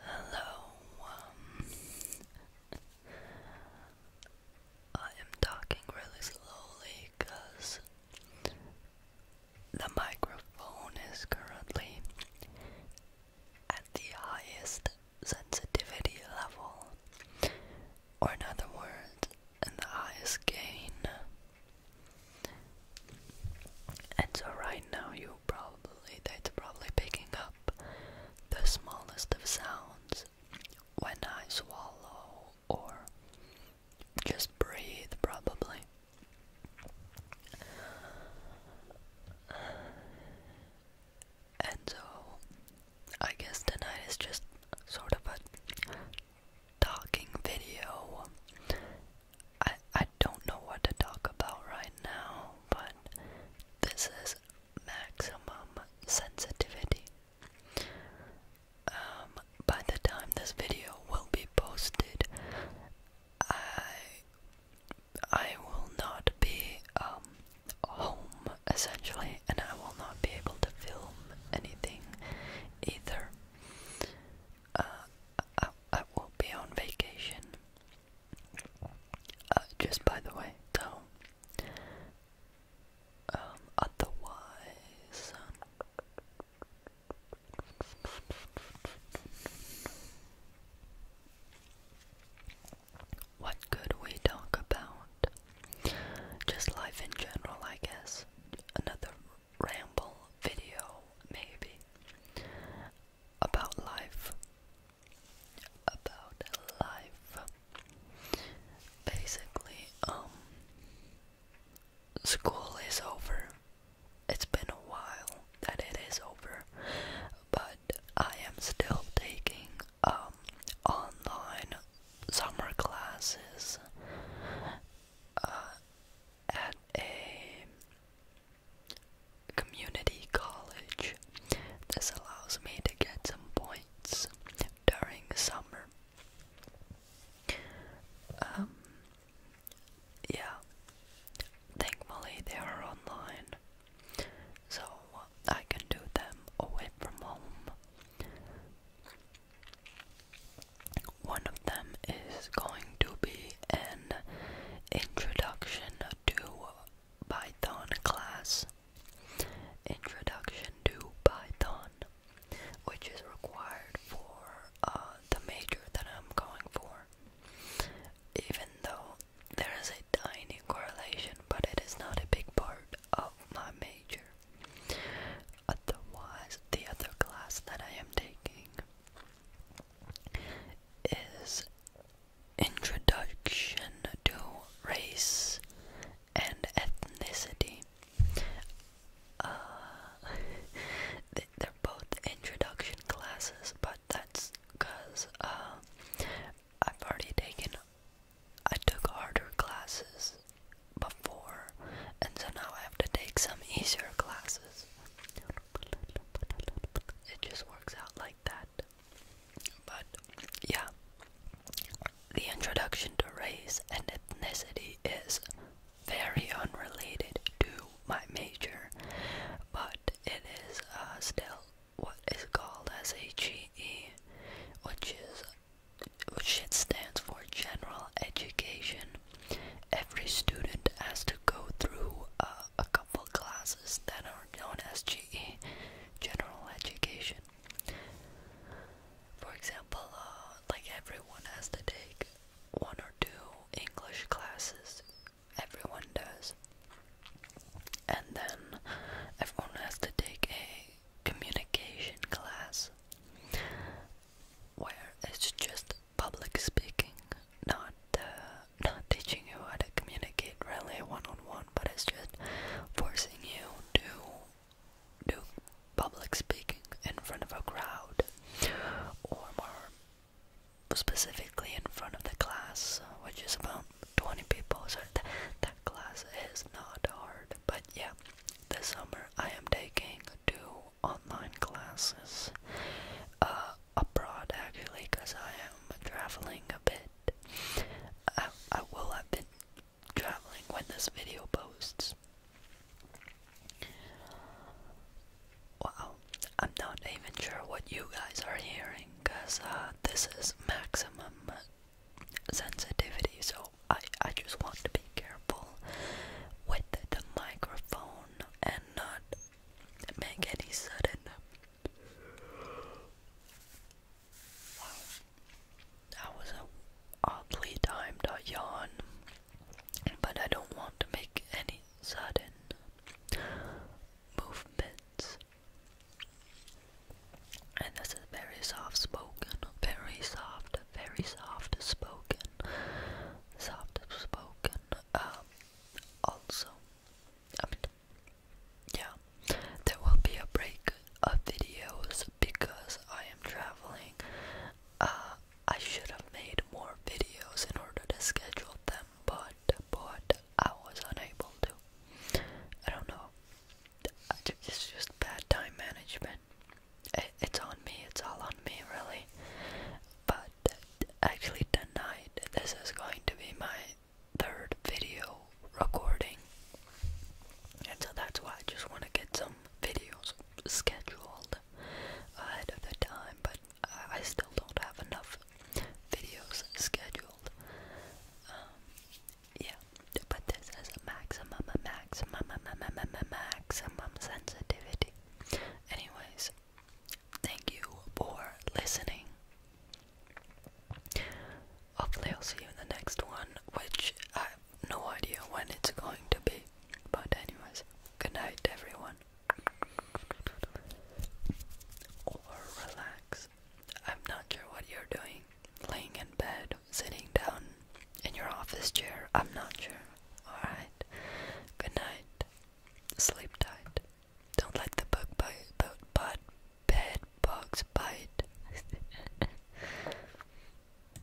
Hello. Um, I am talking really slowly because the microphone is currently at the highest sensitivity level, or in other words, in the highest gain. And so right now you probably that's probably picking up the smallest of sounds when I swallow or just breathe probably. And so I guess tonight is just sort of a talking video. I I don't know what to talk about right now, but this is maximum sensitivity. Um, by the time this video will be posted, I I will not be um home essentially, and I will not be able to film anything either. Uh, I, will be on vacation. Uh, just by the way, so um, otherwise, um, what could we talk about? Just life in general, I guess. Another ramble video, maybe. About life. About life. Basically, um, school is over. It's been a while that it is over, but I am still taking um, online summer classes uh, at a community college. This allows me to get some points during summer. Um, yeah, thankfully they are online, so I can do them away from home. One of them is going to be an introduction to Python class. Introduction to Python, which is required for uh, the major that I'm going for. Even though there is a tiny correlation, but it is not a big part of my major. Otherwise, the other class that I am taking is Introduction to Race and Ethnicity. Uh, they're both introduction classes, but that's because uh, I've already taken I took harder classes before and so now I have to take some easier classes. It just works out like that. But yeah. The introduction to race and ethnicity is very unrelated to my major, but it is uh, still what is called as a GE, which is which it stands for general education. Every student has to go through uh, a couple classes that are known as GE, general education. For example, uh, like everyone has to take one or two English classes everyone does. And then everyone has to take a communication class where it's just public speaking, not uh, not teaching you how to communicate really one on one, but it's just forcing you to do public speaking in front of a crowd or more specifically in front of the class, which is about 20 people, so th that class is not hard. But yeah, this summer I am taking two online classes uh, abroad actually, because I am traveling a bit. I will have been traveling when this video posts. Wow, I'm not even sure what you guys are hearing because uh, this is maximum sensitivity, so I, I just want to be careful with the microphone and not make any sudden. Wow, that was a oddly timed yawn but I don't want to make any sudden movements. And this is very soft spoken, very soft, very soft spoken, soft spoken. Um, also, I mean, yeah, there will be a break of videos because I am traveling. Uh, I should have made more videos in order to schedule them, but but I was unable to. I don't know. it's just bad time management. it's on me. It's all on me, really. But actually, tonight this is going to be my third video recording, and so that's why I just want to get some videos scheduled ahead of the time, but I, still don't have enough videos scheduled. Um, yeah, but this is a maximum, a maximum, a maximum, a maximum sensitivity. Anyways, thank you for listening. Hopefully, I'll see you in the next one, which no idea when it's going to be. But anyways, good night everyone. Or relax. I'm not sure what you're doing. Laying in bed, sitting down in your office chair. I'm not sure. Alright. Good night. Sleep tight. Don't let the bug bite, but, bed bugs bite.